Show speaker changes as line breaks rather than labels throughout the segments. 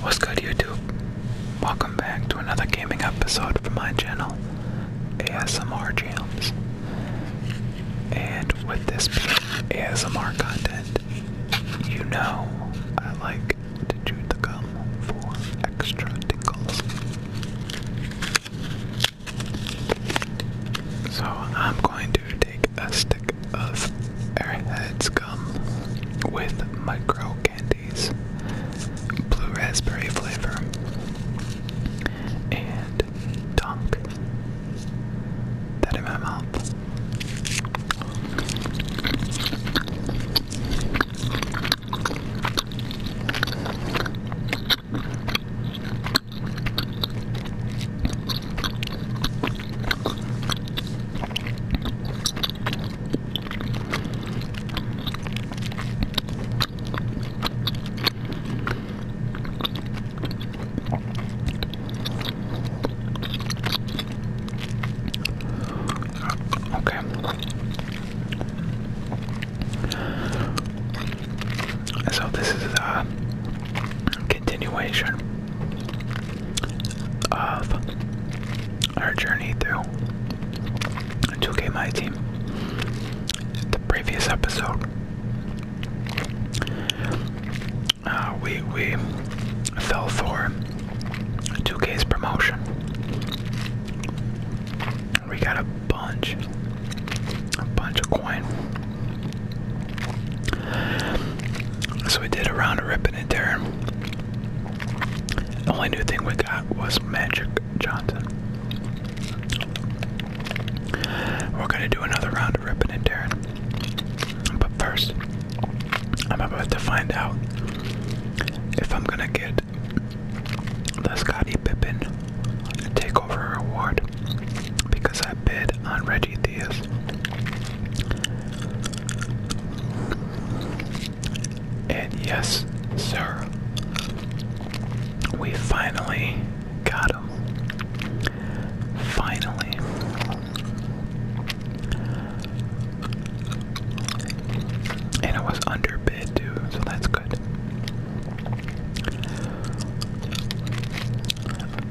What's good YouTube? Welcome back to another gaming episode from my channel, ASMR Jams. And with this being ASMR content, you know I like to chew the gum for extra tinkles. So I'm going to take a stick of Airheads gum with micro candies, blue raspberry flavor, and dunk that in my mouth. Okay. So this is a continuation of our journey through 2K My Team. The previous episode, uh, we we fell for 2K's promotion. We got a bunch, a bunch of coin. So we did a round of ripping and tearing. The only new thing we got was Magic Johnson. We're gonna do another round of ripping and tearing. But first, I'm about to find out if I'm gonna get the Scotty Pippen Takeover Award because I bid on Reggie and yes, sir, we finally got him. Finally. And it was underbid too, so that's good.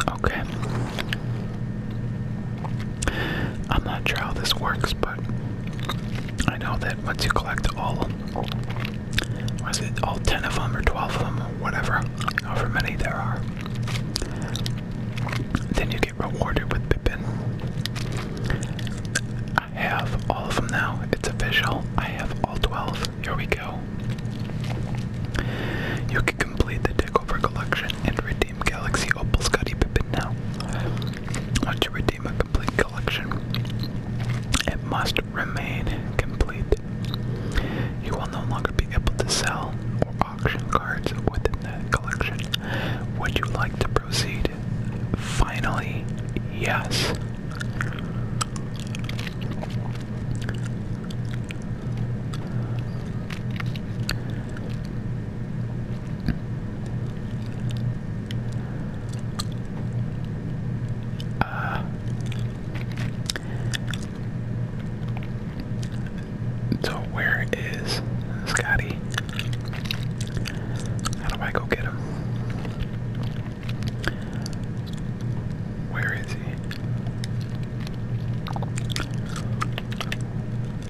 Okay. I'm not sure how this works, but I know that once you collect all, was it all 10 of them or 12 of them or whatever, however many there are, then you get rewarded with Pippin. I have all of them now. It's official. I have all 12. Here we go. You can complete the Takeover collection and redeem redeem Galaxy Opal Scotty Pippin now. Once you redeem a complete collection, it must remain complete. You will no longer be able to sell or auction cards within that collection. Would you like to proceed? Finally, yes. Uh, so where is Scotty? How do I go get him? Where is he?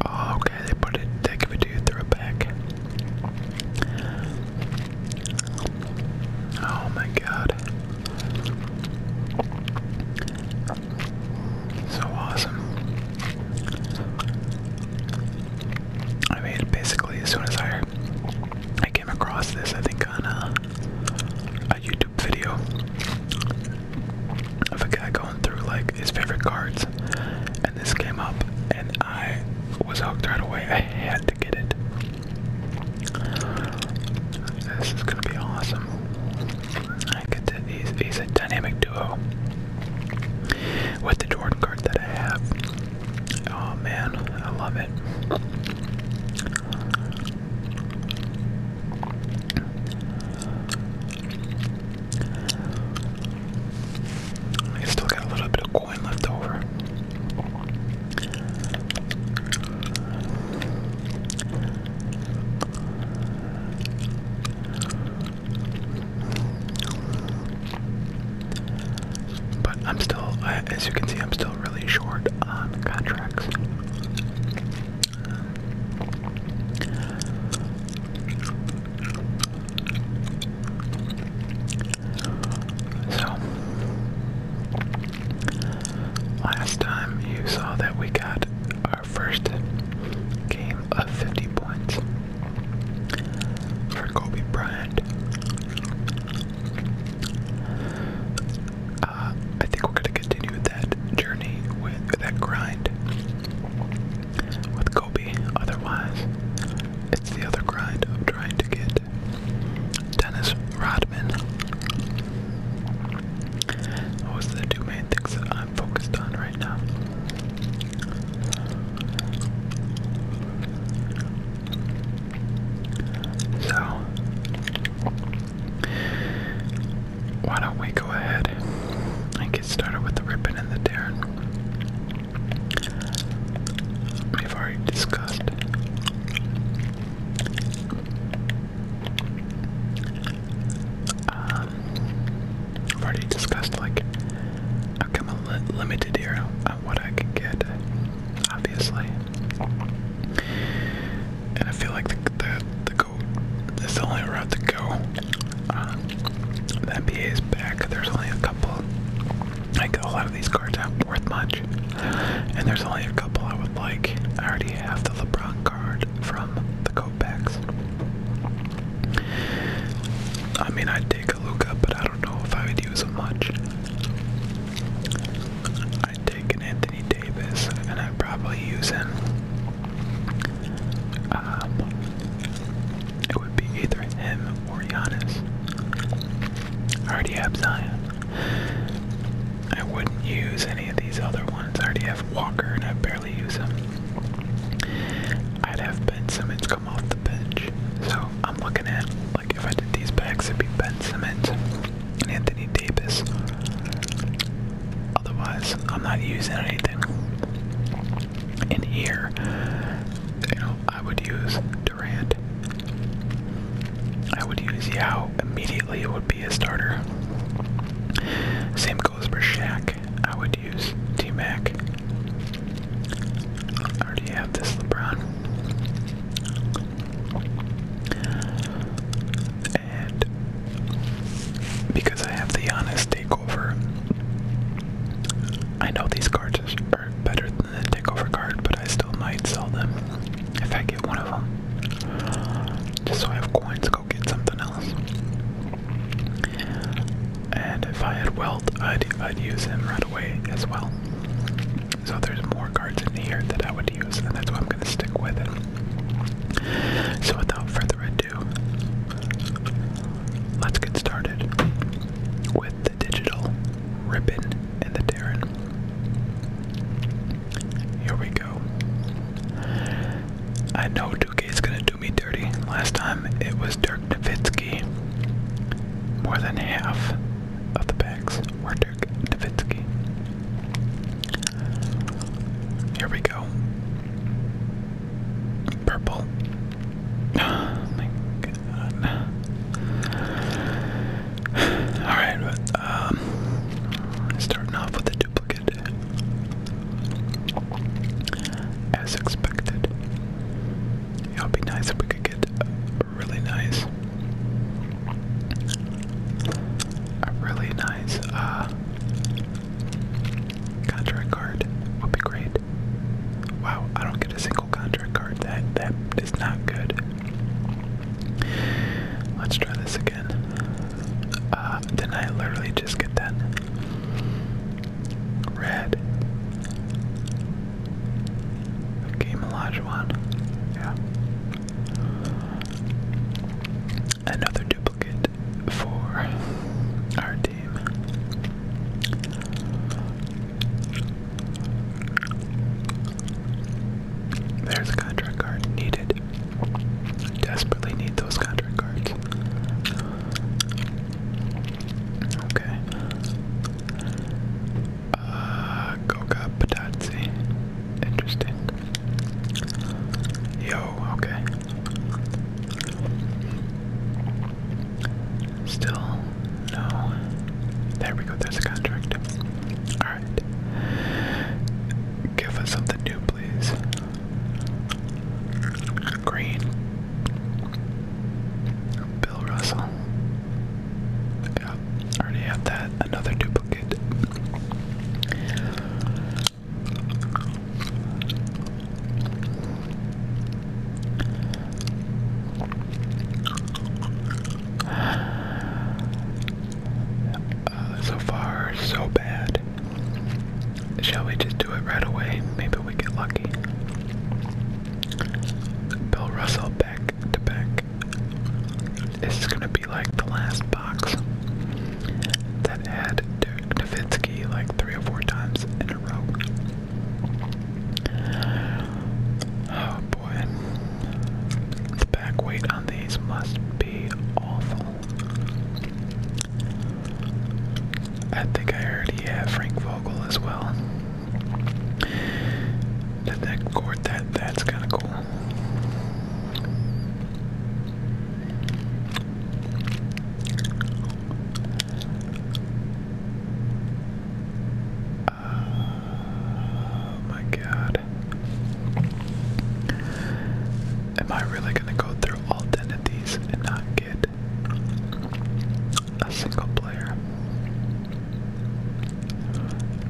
Oh, okay, they put it, they give it to through a bag. Oh my god. So awesome. I mean, basically, as soon as I I came across this, I think on a, a YouTube video of a guy going through like his favorite cards, and this came up, and I was hooked right away. I had to get it. This is gonna be awesome. I get to, he's, he's a dynamic duo with the Jordan card that I have. Oh man, I love it. I still got a little bit of coin left over. But I'm still, as you can see, I'm still really short on contracts. So, last time you saw that we got our first game of 50 points for Kobe Bryant. Uh, I think we're going to continue with that journey with that grind with Kobe. Otherwise, it's the other grind of trying to get Dennis Rodman. Those are the two main things that I'm focused on right now. So why don't we go ahead and get started with the ribbon and the tearing? We've already discussed um, have already discussed like I've come a limited here on what I can get, obviously. And I feel like the, the go. That's the only route to go. Um, the NBA is back. There's only a couple. Like a lot of these cards are worth much, and there's only a couple I would like. I already have the LeBron card from the coat I mean, I'd take a Luca, but I don't know if I would use him much. I'd take an Anthony Davis, and I'd probably use him. Um, it would be either him or Giannis. I already have Zion. I wouldn't use any of these other ones. I already have Walker and I barely use him. I'd have Ben Simmons come off the bench. So I'm looking at, like, if I did these packs, it'd be Ben Simmons and Anthony Davis. Otherwise, I'm not using anything. In here, you know, I would use Durant. I would use Yao immediately, it would be a starter. Same goes for Shaq. I would use T Mac. I already have this LeBron because I have the Giannis takeover, I know these cards are better than the takeover card, but I still might sell them if I get one of them, just so I have coins. to Go get something else. And if I had wealth, I'd I'd use him right away as well. So there's more cards in here that I would use, and that's why I'm gonna stick with. It. So without further ado. Let's get started with the digital ribbon and the Terran. Here we go. I know 2K is gonna do me dirty. Last time it was Dirk Nowitzki. More than half of the packs were Dirk Nowitzki. Here we go. Purple. Oh Alright, um starting off with a duplicate. As expected. It would be nice if we could get really nice a really nice uh, Contract card would be great. Wow, I don't get a single contract card. That that is not good. Let's try this again. Uh, I literally just get that? Red. Okay, Melage one. Yeah. Another dupe for our team. There's a contract card needed. Desperately need those contract cards. Okay. Uh, Goga Padazzi. Interesting. Yo, okay. Still, no. There we go, there's a contract. Alright. Give us something new, please. Green. Bill Russell. Yep, already have that. Another duplicate so far, so bad. Shall we just do it right away? Maybe we get lucky. Bill Russell back to back. This gonna like the last box that had Davitsky like three or four times in a row. Oh boy. The back weight on these must be awful. I think I heard he Frank Vogel as well. That that court that that's kinda cool. Oh my god. Am I really gonna go through all 10 of these and not get a single player?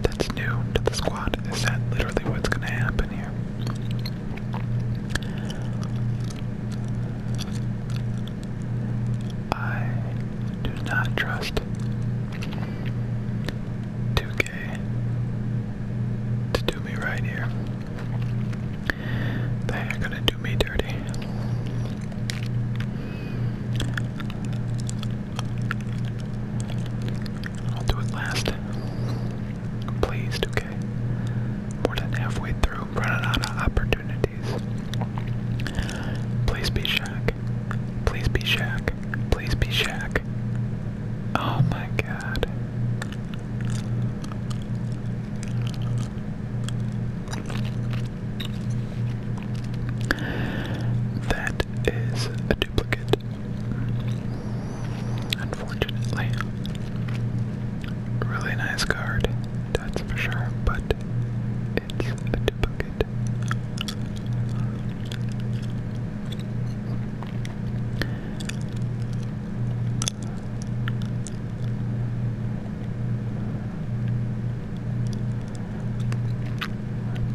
That's new to the squad. Is that literally what's gonna happen here? I do not trust 2K to do me right here. They are gonna do me dirty. I'll do it last. Please, 2K. More than halfway through, running out of opportunities. Please be Shaq. Please be Shaq. Please be Shaq. Oh my god. That is a duplicate Unfortunately. Really nice card, that's for sure, but it's a duplicate.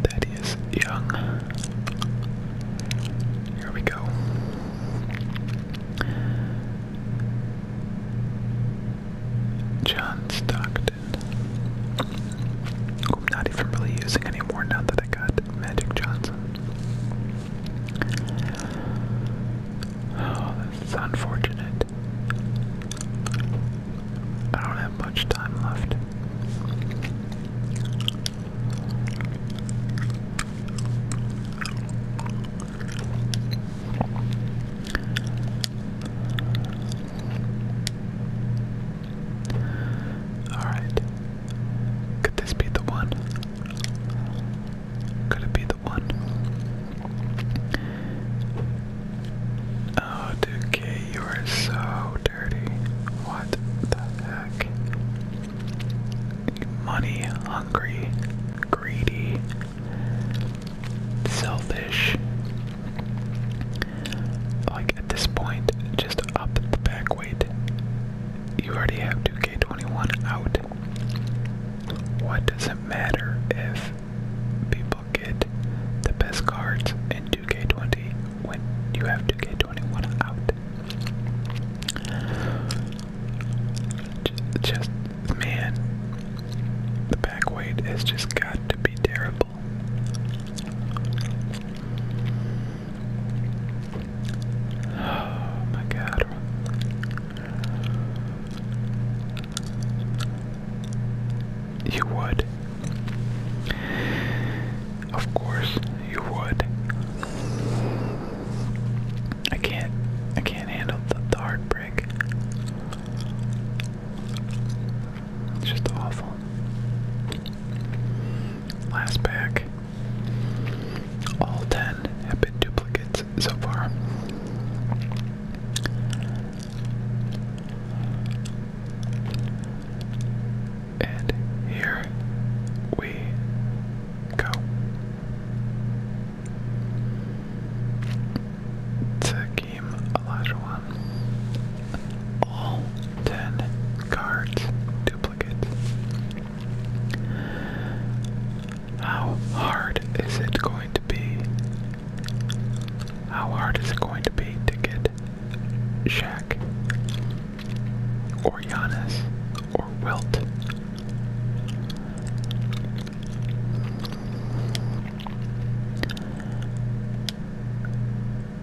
That is young. Here we go. John Stockton, I'm not even really using anymore now that I got Magic Johnson. Oh, that's unfortunate. I don't have much time left. Alright. Could this be the one? Could it be the one? Oh, Duke, you are so dirty. What the heck? money hungry, greedy, selfish. Like at this point, just up the back weight. You already have 2K21 out. What does it matter if people get the best cards in 2K20 when you have 2K21 out? Just, man, the back weight has just got to be terrible. Oh my god. You would. Of course, you would. I can't I can't handle the, heartbreak. It's just awful. Last pack. All ten have been duplicates so far. And here we go. Takim Olajuwon. All 10 cards duplicate. How hard is it going to be? How hard is it going to be to get Shaq? or Giannis or Wilt.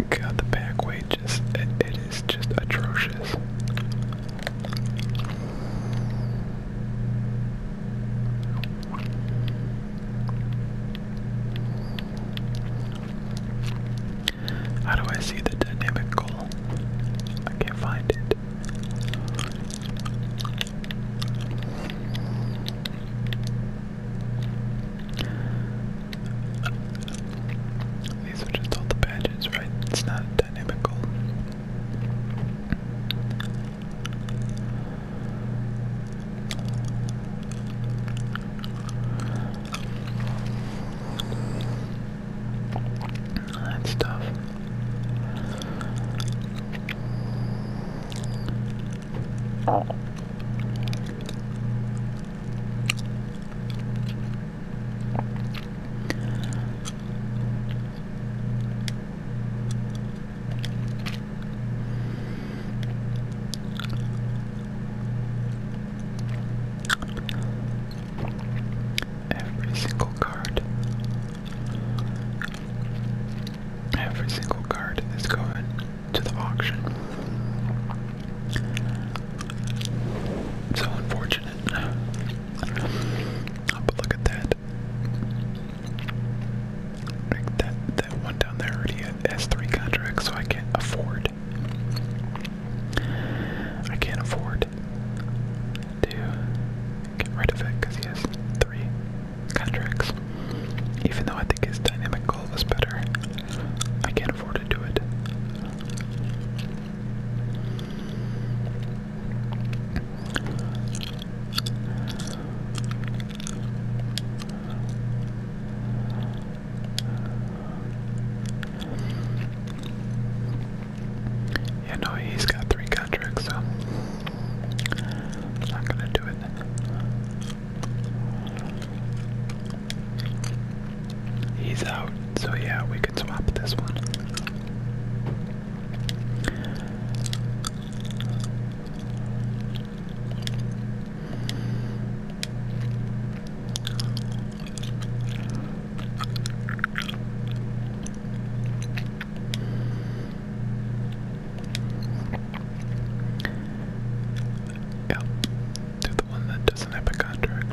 God, the back weight just, it is just atrocious. How do I see the dynamic goal? I can't find it. These are just all the badges, right? It's not a that's tough. Every single card. Every single card is going to the auction. So unfortunate. But look at that. that that one down there already has three contracts, so I can afford I can't afford to get rid of it because he has three contracts. Even though I think his dynamic goal was better, I can't afford to do it. Yeah, no, he's got three contracts, so I'm not gonna do it. He's out, so yeah, we can swap this one. Yeah. to the one that doesn't have a contract.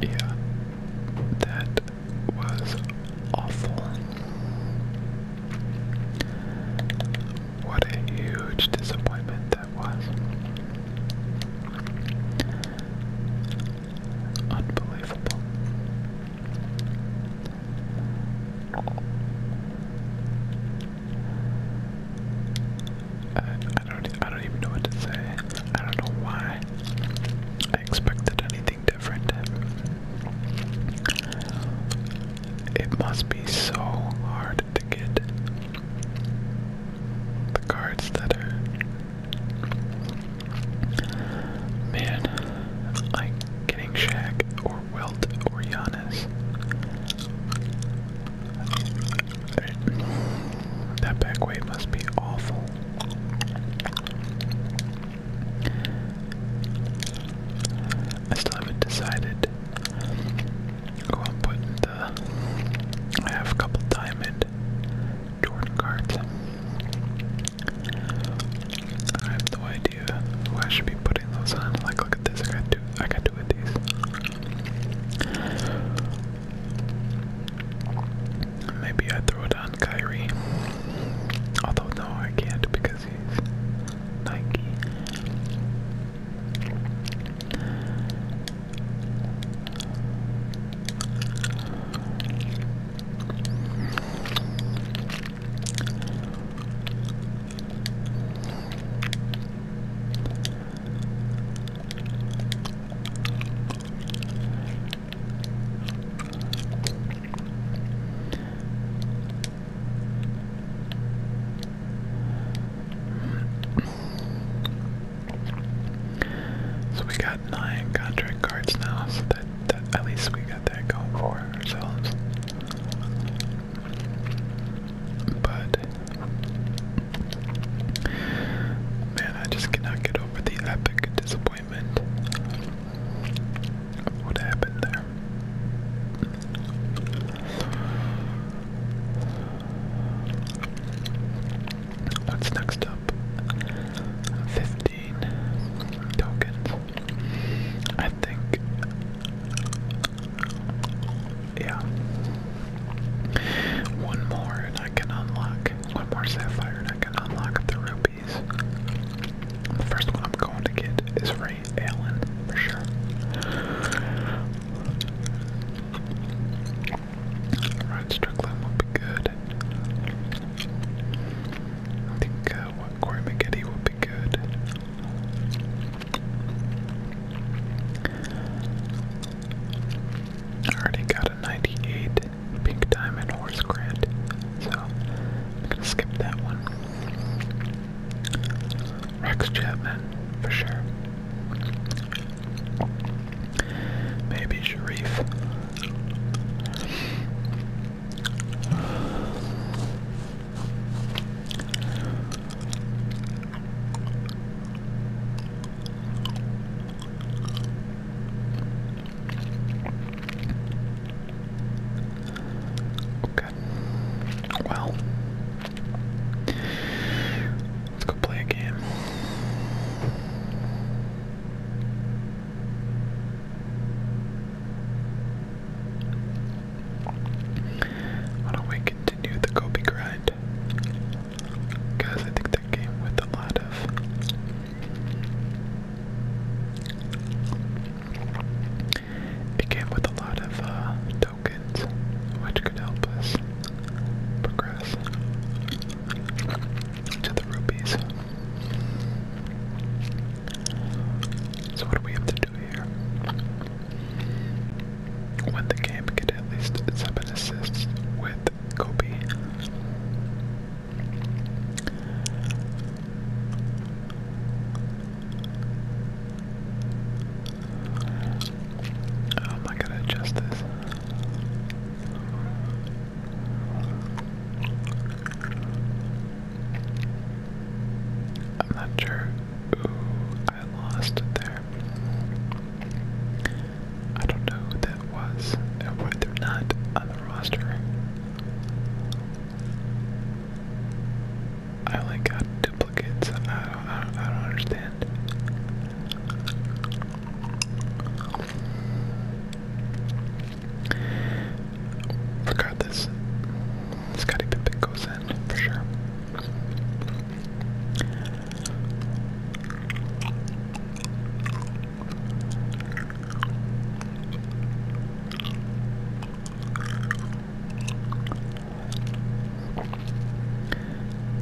Yeah, that was awful. What a huge disappointment that was. Unbelievable. I, don't I don't even know what to say. I don't know why I expected anything different. It must be so hard to get the cards that are. Man, like getting Shaq or Wilt or Giannis. That back must be awful. I still haven't decided who I'm the. I have a couple diamond Jordan cards. I have no idea who I should be putting those on. Like, look at this. I got two. I got two of these. Maybe I throw it on Kyrie. Although no, I can't because he's Nike. So we got nine contract cards now, so that, at least we got that going for ourselves. But man, I just cannot get over the epic disappointment of what happened there. What's next up? 15 tokens. I think. Yeah. One more and I can unlock. One more sapphire and I can unlock the rupees. The first one I'm going to get is Ray for sure. Ryan Strickland will be good. I think uh, Corey McGetty will be good. I already got a 98 Pink Diamond Horse Grant, so I'm gonna skip that one. Rex Chapman, for sure. Maybe Sharif. Okay good. Well, let's go play a game. Why do we continue the Kobe grind? Because I think that game with a lot of it came with a lot of uh, tokens, which could help us progress to the rupees. So what do we have to do here? Win the game, get at least seven assists with Kobe. Oh my god, adjust this. I'm not sure. Ooh, I lost there. I don't know who that was and why they not on the roster. I like got duplicates. I don't, I don't understand. Regardless, Scotty Pippen goes in for sure.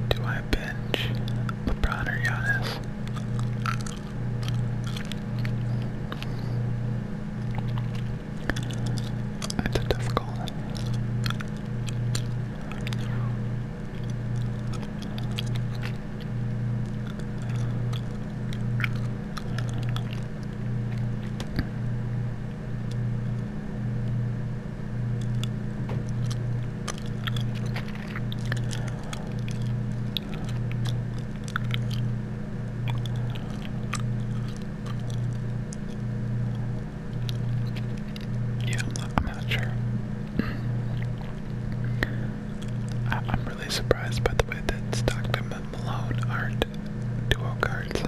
Do I bench LeBron or Giannis? That's a tough yeah, I'm not, sure. I'm really surprised by the way that Stockton and Malone aren't and duo cards.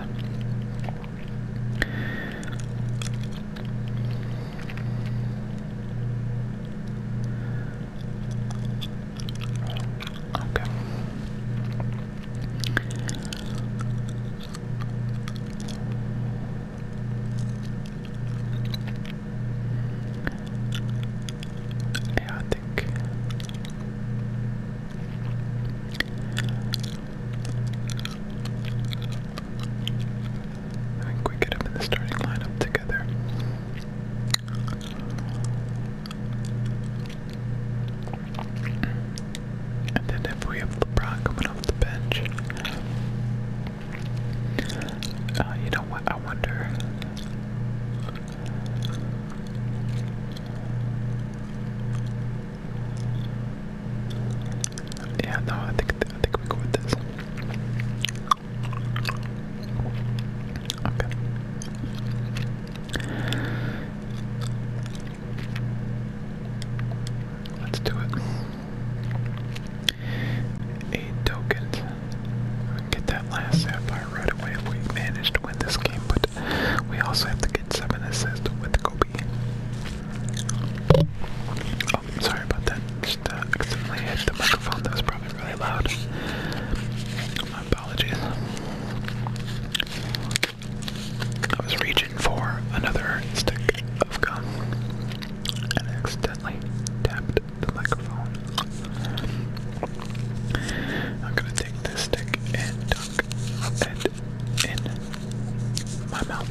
Okay. Yeah, I think I think we get them in the starting lineup together. And then if we have LeBron coming off the bench, uh, you know what? I wonder. Yeah, no, I think I think we go with this. Okay. Let's do it. Eight tokens. get that last sapphire right away if we manage to win this game, but we also have to get seven assists with Kobe. Oh, sorry about that. Just uh, accidentally hit the microphone. That was probably really loud. apologies. I was reaching for another stick of gum and accidentally tapped the microphone. I'm gonna take this stick and dunk it in my mouth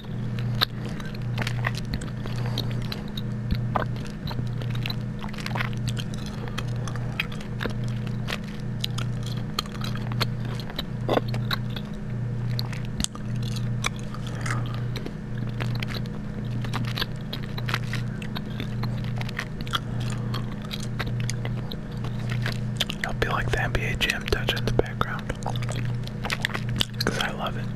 i will be like the NBA Jam touch in the background because I love it.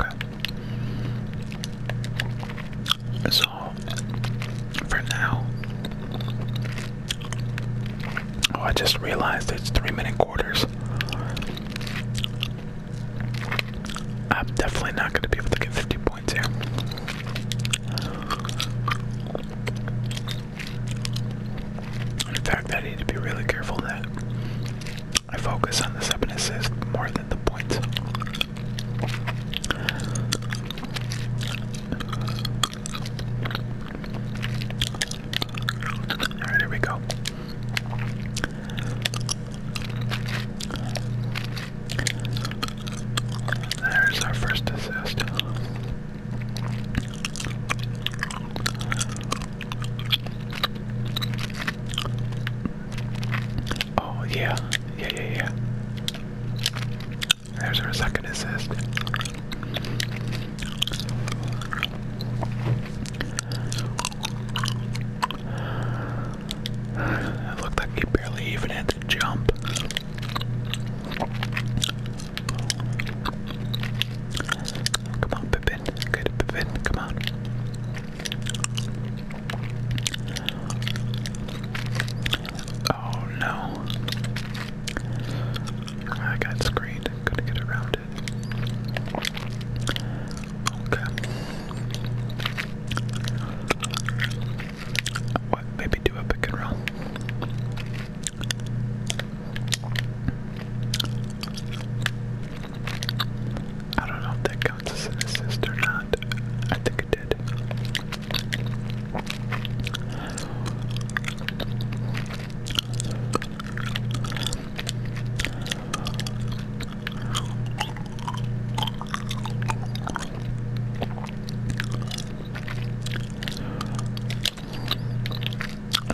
Okay. So for now, oh, I just realized it's three minute I'm definitely not going to be able to get 50 points here. In fact, I need to be really careful that I focus on the 7 more than the points. Alright, here we go. There's our first assist. Oh, yeah, yeah, yeah, yeah. There's our second assist. It looked like he barely even had to jump. Come on, Pippin. Good, Pippin. Come on. Oh no. I got screened. Couldn't get around Okay. What? Maybe do a pick and roll. I don't know if that counts as an assist or not. I think it did. I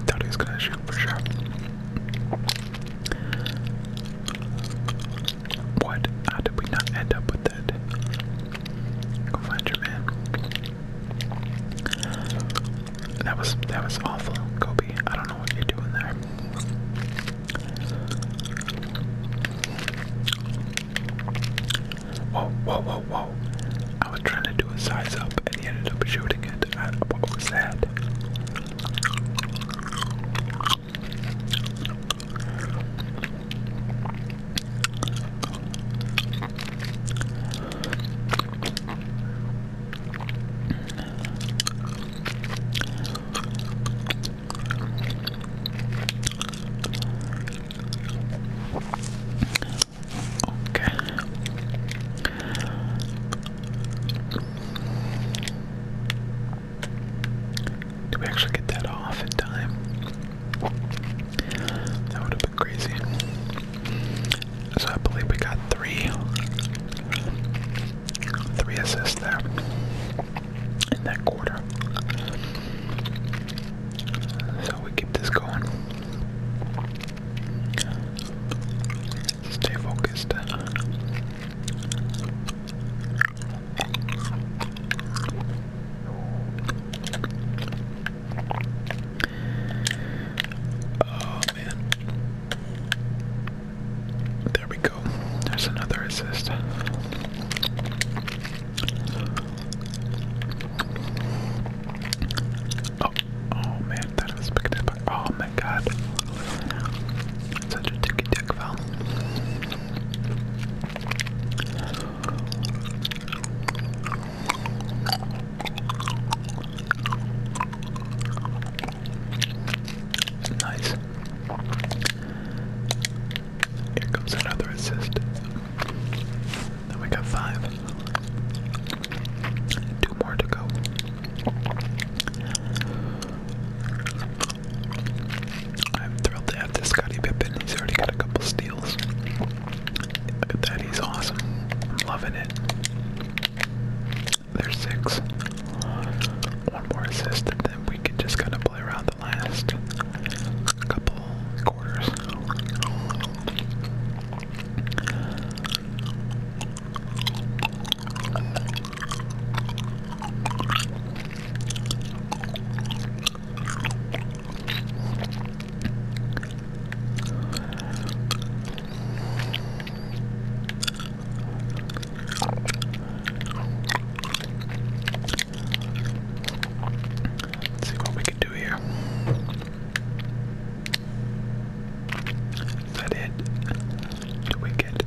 thought he was gonna shoot for sure. What? How did we not end up with that? Go find your man. That was that was awful, Kobe. I don't know what you're doing there. Whoa, whoa, whoa, whoa! I was trying to do a size up, and he ended up shooting it. what was that? Okay. Do we actually get that off in time? That would have crazy. So I believe we got three, three assists there in that quarter. So we keep this going. Stay focused man. There we go. There's another assist. Oh, oh man, that was picked up. Oh my god. Such a ticky dick foul. Nice. Here comes another assist. Then we got five. Two more to go. I'm thrilled to have this Scotty Pippen. He's already got a couple steals. Look at that, he's awesome. I'm loving it. There's six. One more assist, and then we can just kind of play around the last couple quarters. Let's see what we can do here. Is that it? Do we get?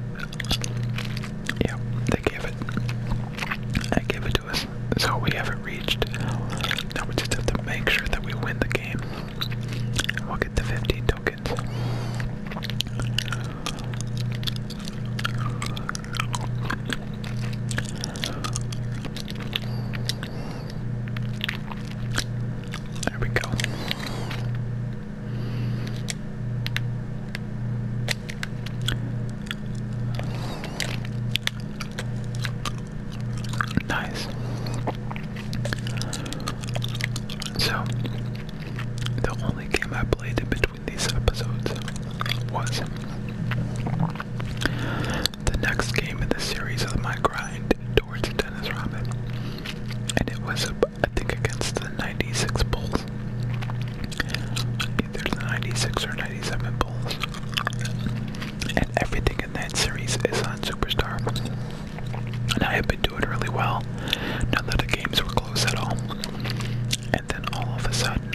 Yeah, they gave it. They gave it to us. So we haven't reached. Now we just have to make sure that we win the game. We'll get the 15 tokens. There we go. Nice. So, the only game I played in between these episodes was the next game in the series of my grind towards Dennis Ramen. And it was, I think, against the 96 Bulls. Either the 96 or 97 Bulls. And everything in that series is on Superstar and I had been doing really well. None of the games were close at all. And then all of a sudden,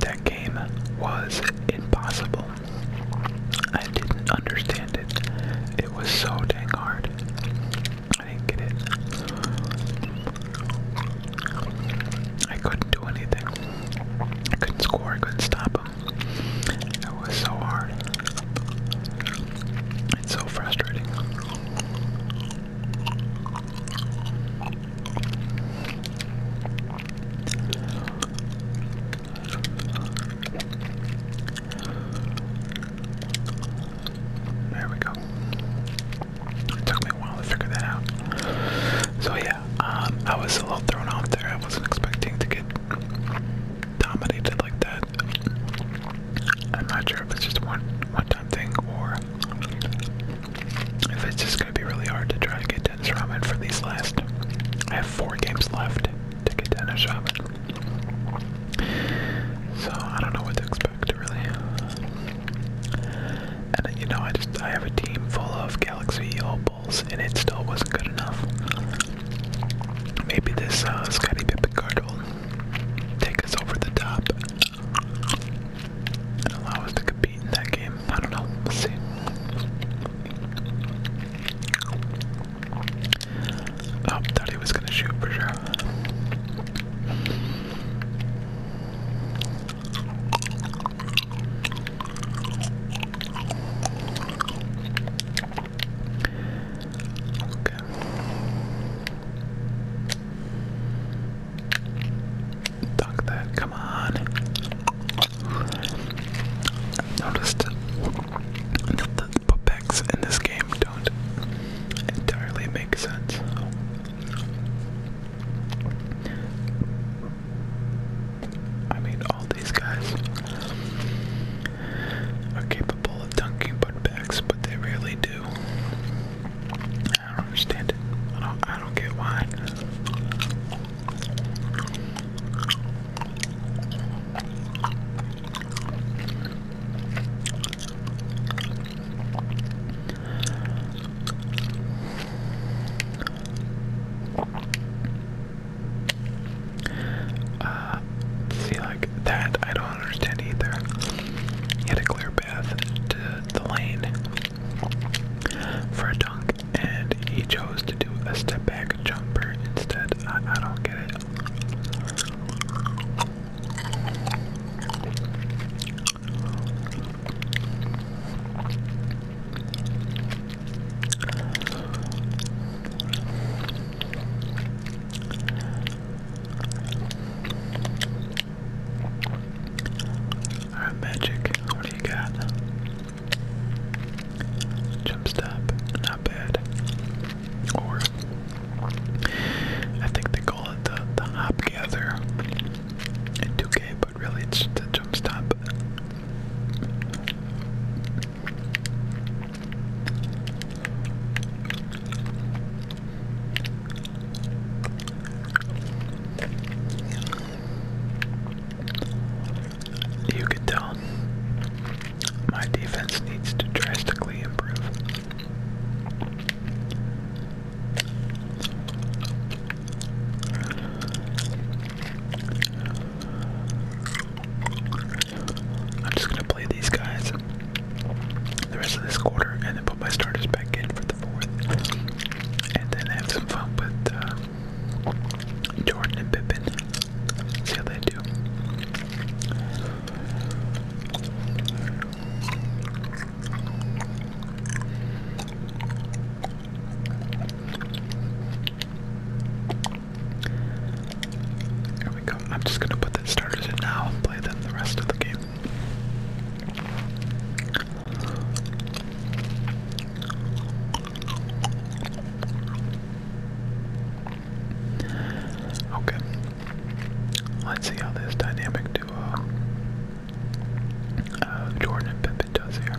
that game was impossible. I didn't understand it. It was so dang hard. I didn't get it. I couldn't do anything. I couldn't score, I couldn't stop that was so hard. It's so frustrating. There we go. It took me a while to figure that out. So yeah, um, I was a little thrown off there. I wasn't expecting to get dominated like that. I'm not sure if it's just one one-time thing or if it's just gonna be really hard to try to get Dennis Raman for these last. I have four games left to get Dennis Raman, so I don't know what to expect really. And you know, I just I have a team full of Galaxy Old and it still wasn't good enough. Maybe this uh, Pippen card will take us over the top and allow us to compete in that game. I don't know. see. Oh, thought he was going to shoot for sure. Dunk that, come on. noticed that the putbacks in this game don't entirely make sense. I mean, all these guys are capable of dunking butt backs, but they rarely do. I don't understand it. I don't, I don't get why. Uh, see, like that, I don't understand either. He had a clear path to the lane for a dunk, and he chose to do a step back jumper instead. I don't get it. Alright, Magic, what do you got? Jump stop, not bad. Or, I think they call it the, the hop gather in 2K, really it's the jump stop. You can tell my defense needs to drastically improve. I'm just gonna play these guys the rest of this quarter and then put my starters back in for the fourth. And then have some fun with uh, Jordan and Pippin. See how they do. There we go. I'm just gonna put the starters in now and play them the rest of the game. Okay. Let's see how this dynamic duo uh Jordan and Pippin does here.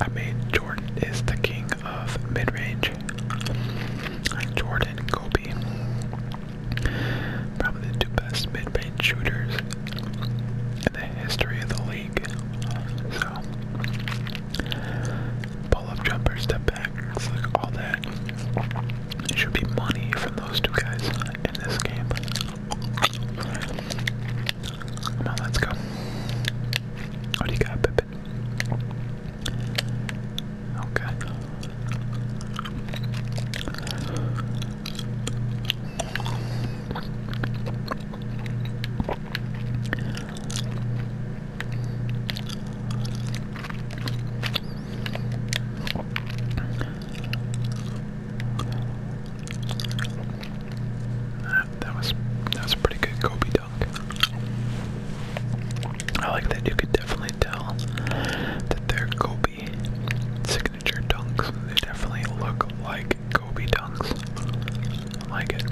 I mean, Jordan is the king of mid range. Jordan Kobe. Probably the two best mid range shooters in the history of the league league. So, pull up jumper, step backs, all that. It should be money from those two guys in this game. Come on, let's go. What do you got, Pippin? Okay. That, was that a pretty good Kobe dunk. I like that you could definitely tell that they're Kobe signature dunks. They definitely look like Kobe dunks. I like it.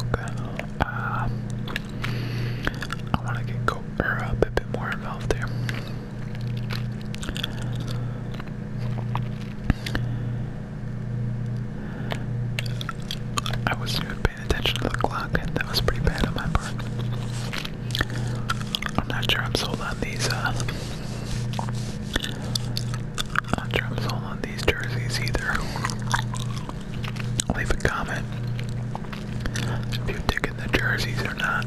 Okay. Uh, I want to get go or er, a bit more involved there. I wasn't paying attention to the clock, that was pretty bad on my part. I'm not sure I'm sold on these, uh, I'm not sure I'm sold on these jerseys either. Leave a comment if you're digging the jerseys or not.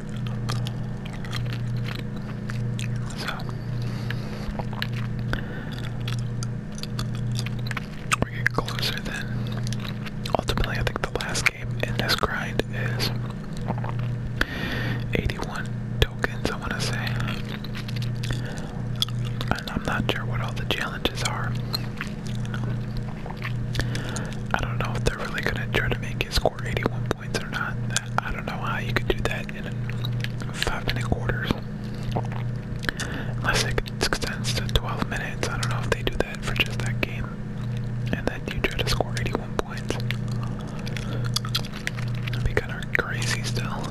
So we get closer then. Ultimately, I think the last game in this grind is 81 tokens, I want to say. And I'm not sure what all the challenges are. I don't know if they're really gonna try to make it score 81 points or not. I don't know how you could do that in five minute quarters. Unless it extends to 12 minutes. I don't know if they do that for just that game. And then you try to score 81 points. That'd be kind of crazy still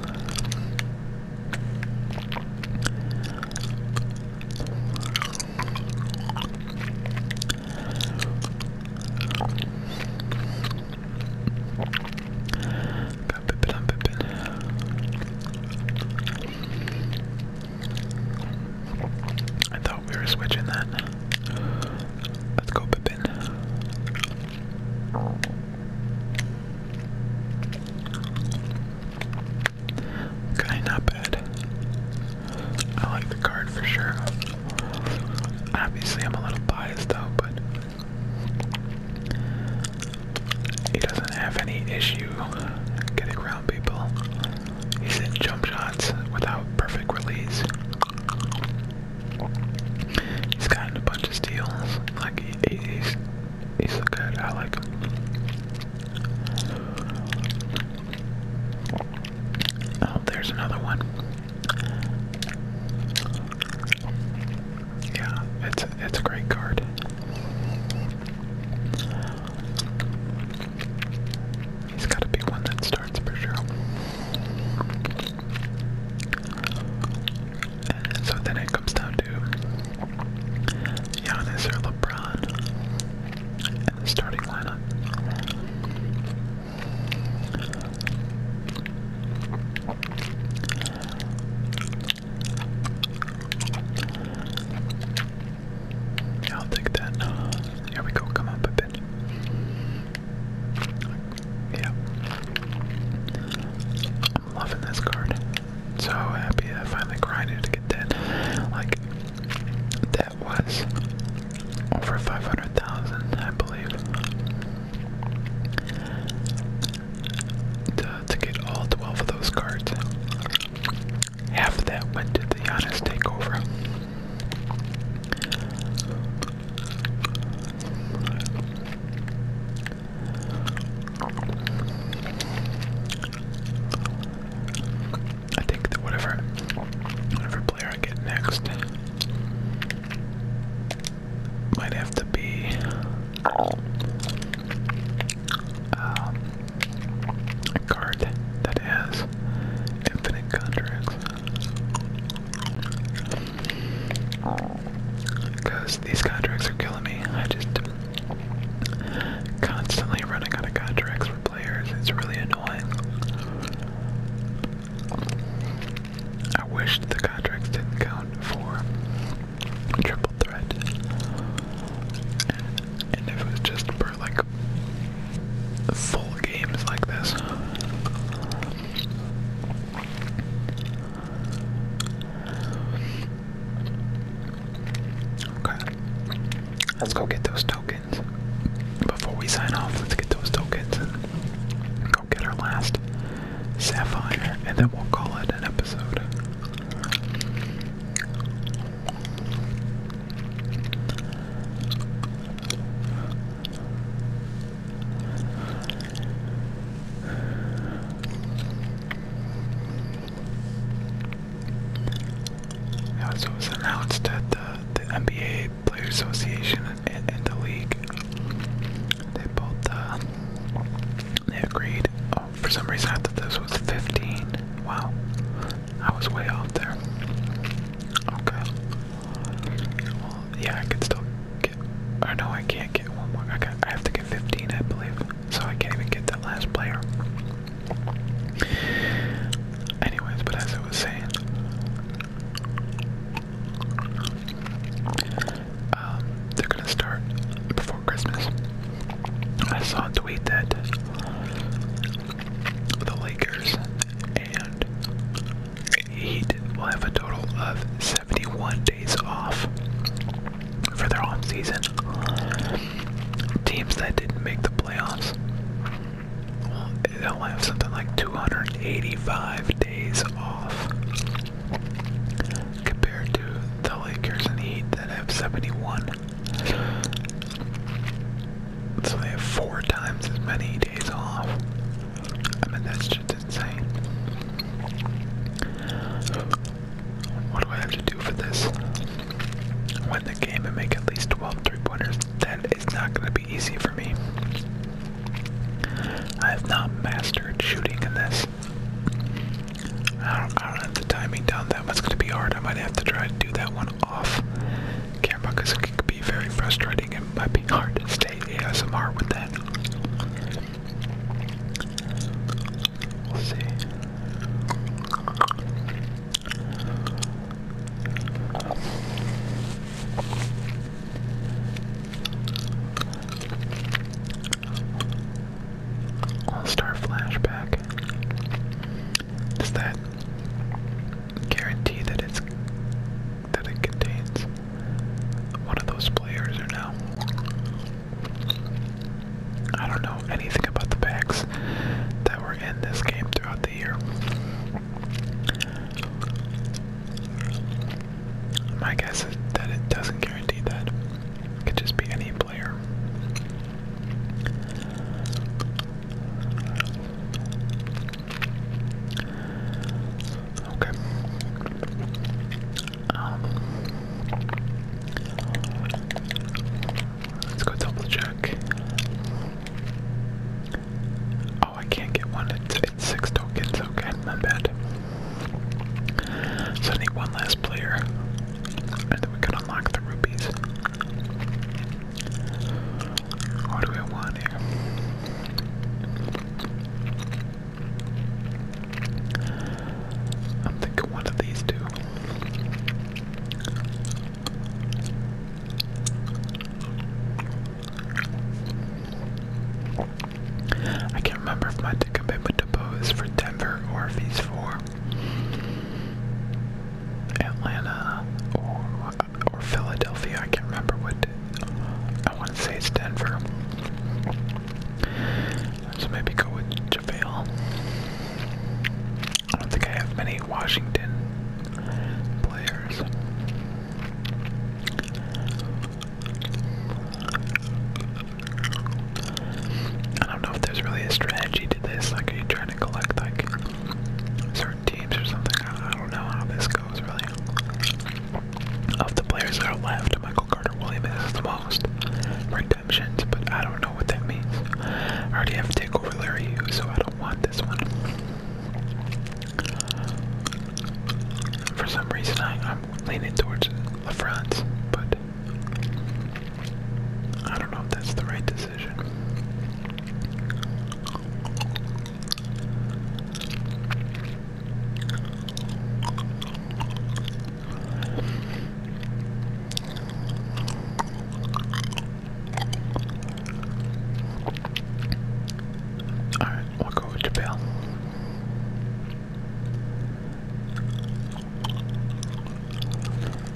i thought we were switching that. Let's go pippin. Okay, not bad. I like the card for sure. Obviously, I'm a little biased though, but he doesn't have any issue getting around people. He's in jump shots without perfect release. He's gotten a bunch of steals. Like he, he's he's so good. I like him. Oh, there's another one. Yeah, it's it's a great card. He's got to be one that starts for sure. And so then it comes down to Giannis or LeBron the starting lineup. I'll take that. Uh, here we go, come up a bit. Yeah. I'm loving this card. So happy I finally grinded to get that. Like, that was over 500,000, I believe. To, get all 12 of those cards. Half that went to the honest takeover. I think that whatever whatever player I get next might have to be um, a card that has infinite contracts. Because these contracts are killing me. I just constantly running out of contracts it's really annoying. I wish the contracts didn't count for triple threat. And, if it was just for like full games like this. Okay. Let's go get those tokens. Before we sign off, let's get those tokens and go get our last sapphire, and then we'll call it an episode. Now it was announced that the, the NBA Players Association and, the league, they both uh, they agreed. Oh, for some reason I thought this was 15. Wow, I was way off there. Okay. Well, yeah, I could still get. Or no, I can't get one more. I, I have to get 15, I believe. So I can't even get that last player. Anyways, but as I was saying, um, they're gonna start before Christmas. I saw a tweet that the Lakers and Heat will have a total of 71 days off for their off season. Teams that didn't make the playoffs they'll have something like 285 days off compared to the Lakers and Heat that have 71. So they have four times as many days off. I mean, that's just insane. What do I have to do for this? win the game and make at least 12 three pointers, it's not going to be easy for me. I have not mastered shooting in this. I don't, I do have the timing down that much. It's going to be hard. I might have to try to do that one off camera because it could be very frustrating and might be hard to stay ASMR with that. We'll see. All-Star Flashback. Does that guarantee that it's that it contains one of those players or no? I don't know anything about the backs that were in this game throughout the the My guess is that it doesn't guarantee that. It could just be any player. Okay. Um, let's go double check. Oh, I can't get one. It's, it's six tokens. Okay, my bad. So I need one last player, and then we can unlock the rupees. What do we want here? I'm thinking one of these two. I can't remember if my commitment to Bo is for Denver or if he's for Atlanta or or Philadelphia. I can't remember what I want to say it's Denver. So maybe go with JaVale. I don't think I have many Washington players. I don't know if there's really a strategy to this. Like, are you trying to collect like certain teams or something? I don't know how this goes really. Of the players that are left, Michael Carter Williams has the most redemptions, but I don't know what that means. I already have to take over Larry so I don't want this one. For some reason, I, am leaning towards the front, but I don't know if that's the right decision. Alright, we'll go over to Bell.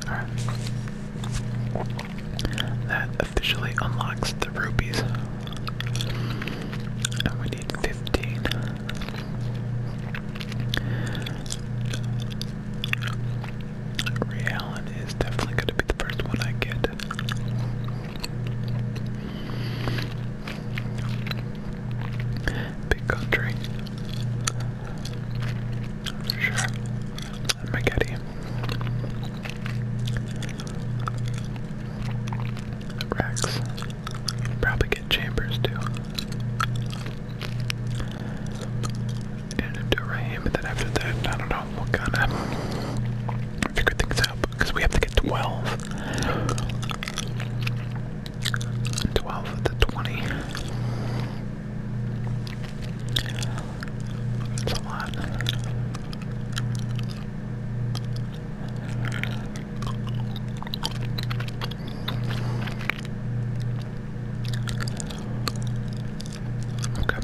Alright. That officially unlocks the rubies. And we need 15. Ray Allen is definitely going to be the first one I get. Big country. sure. Maggette. Rex. Probably get Chambers too and do it right then after that, I don't know, we'll kind of figure things out because we have to get 12. 12 to 20. That's a lot. Okay.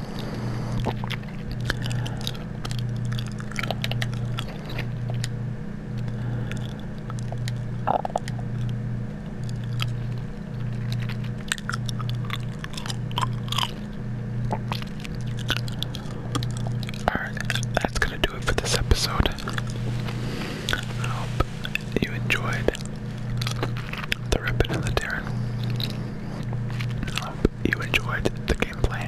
Alright, that's gonna do it for this episode. hope you enjoyed the Ribbon and the Terran. hope you enjoyed the gameplay.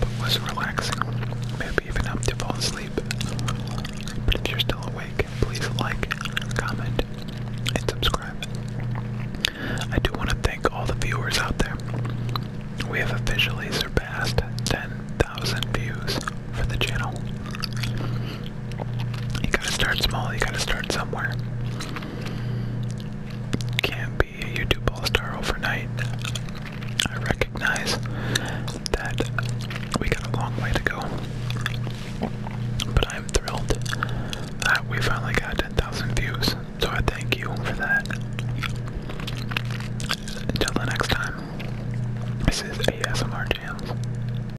But it was relaxing, maybe even helped you fall asleep. But if you're still awake, please like, comment, and subscribe. I do want to thank all the viewers out there. We have officially surpassed 10,000 views for the channel. You gotta start small, you gotta start somewhere. Can't be a YouTube star overnight. I recognize that we got a long way to go. But I'm thrilled that we finally got 10,000 views. So I thank you for that. Until the next time, this is ASMR Jams.